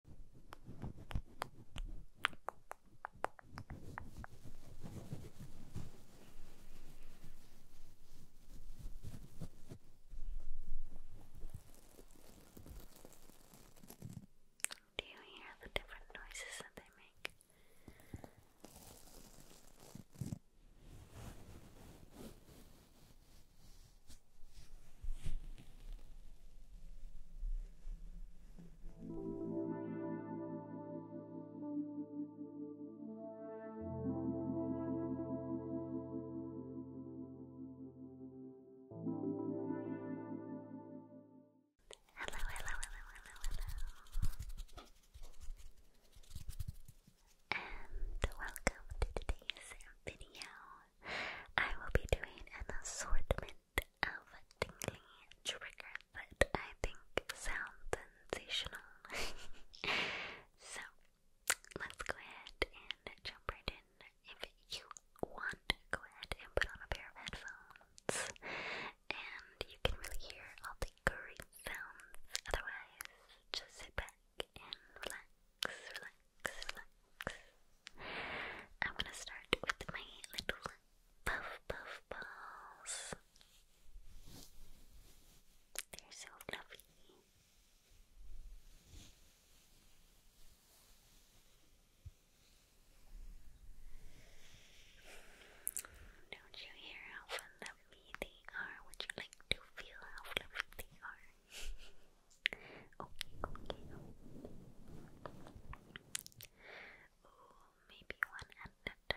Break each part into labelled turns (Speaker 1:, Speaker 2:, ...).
Speaker 1: Do you hear the different noises that they make? Hello, hello, hello, hello, hello. And welcome to today's video. I will be doing an assortment of tingly triggers that I think sound sensational. so, let's go ahead and jump right in. If you want, go ahead and put on a pair of headphones, and you can really hear all the great sounds. Otherwise, just sit back and relax relax. I'm gonna start with my little puff puff balls. They're so fluffy. Don't you hear how fluffy they are? Would you like to feel how fluffy they are? Okay, okay. Oh, maybe one at a time.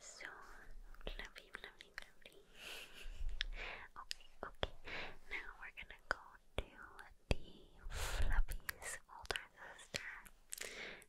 Speaker 1: So lovely, lovely, lovely. okay, okay. Now we're gonna go to the Fluffy's older sister,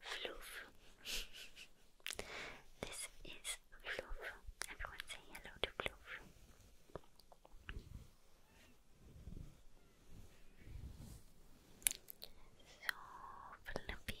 Speaker 1: Floof. this is Floof. Everyone say hello to Floof. So fluffy.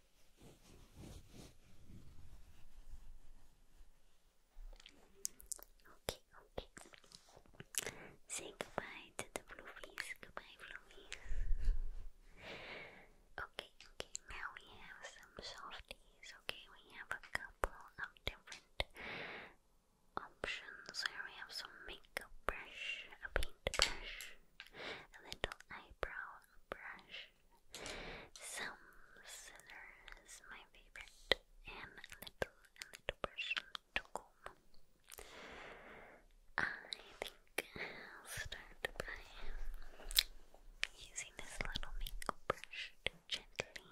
Speaker 1: Okay, okay. Say goodbye to the fluffies. Goodbye, fluffies. okay, okay. Now we have some softies. Okay, we have a couple of different options. Here we have some makeup brush, a paint brush, a little eyebrow brush. Some scissors, my favorite, and a little, a little brush, a little I think I'll start by using this little makeup brush to gently.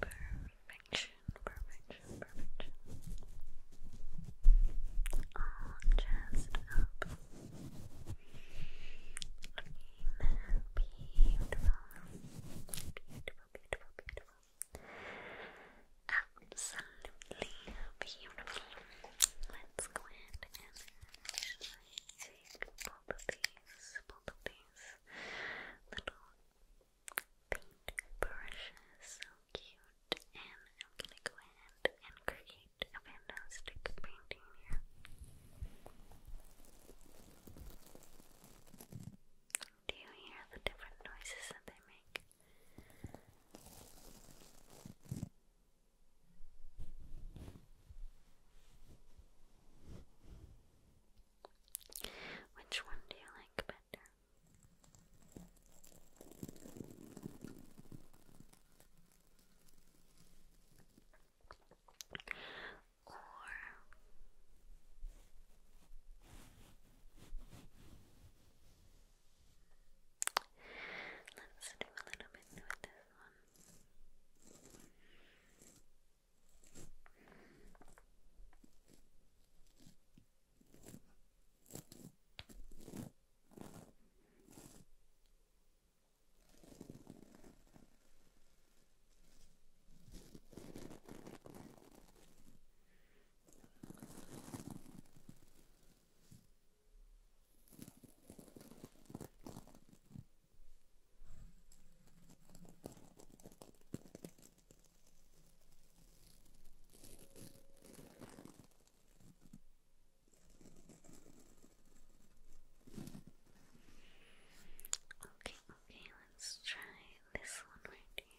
Speaker 1: Perfection, perfection, perfection. All jazzed up. Looking beautiful. Beautiful, beautiful, beautiful. Absolutely beautiful. Let's go ahead and take both of these, both of these little paint So cute. And I'm gonna go ahead and create a fantastic painting here. Do you hear the different noises that they make? Which one do you like better? Or Let's do a little bit with this one. Okay, okay, let's try this one right here.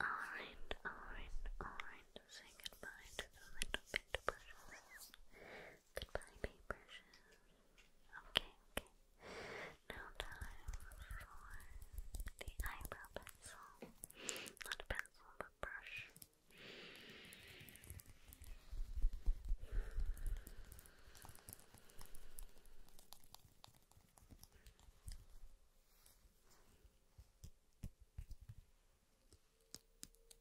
Speaker 1: Alright, alright, alright. Say goodbye to the little bit precious. Goodbye, paper Okay, okay. Now time for the eyebrow pencil. Not a pencil, but brush.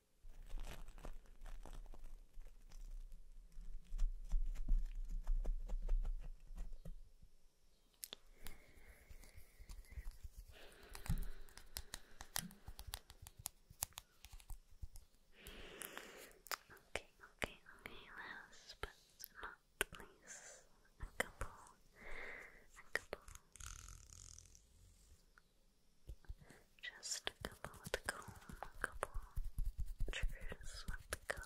Speaker 1: Okay, okay, okay, last but not least, a couple, a couple just a couple with the comb, a couple triggers with the comb.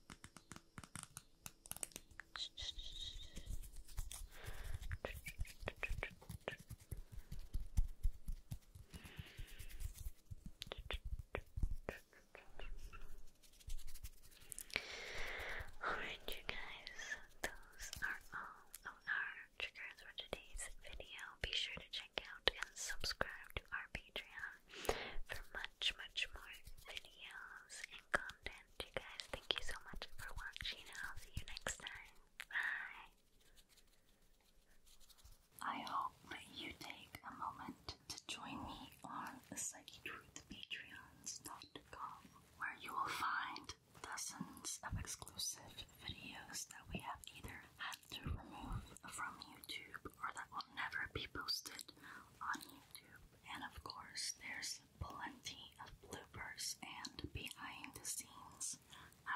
Speaker 1: Alright, you guys, those are all of our triggers for today's video. Be sure to check out and subscribe to our Patreon for much, much more videos and content. And you guys, thank you so much for watching, and I'll see you next time. Bye. I hope you take a moment to join me on the where you will find dozens of exclusive videos that we have either had to remove from YouTube or that will never be posted on YouTube. And of course, there's plenty of bloopers and behind the scenes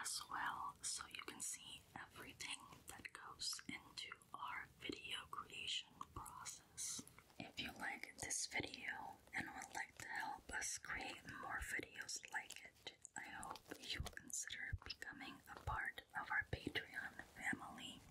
Speaker 1: as well, so you can see everything that goes into our video creation process. If you like this video and would like to help us create more videos like it, I hope you will consider becoming a part of our Patreon family.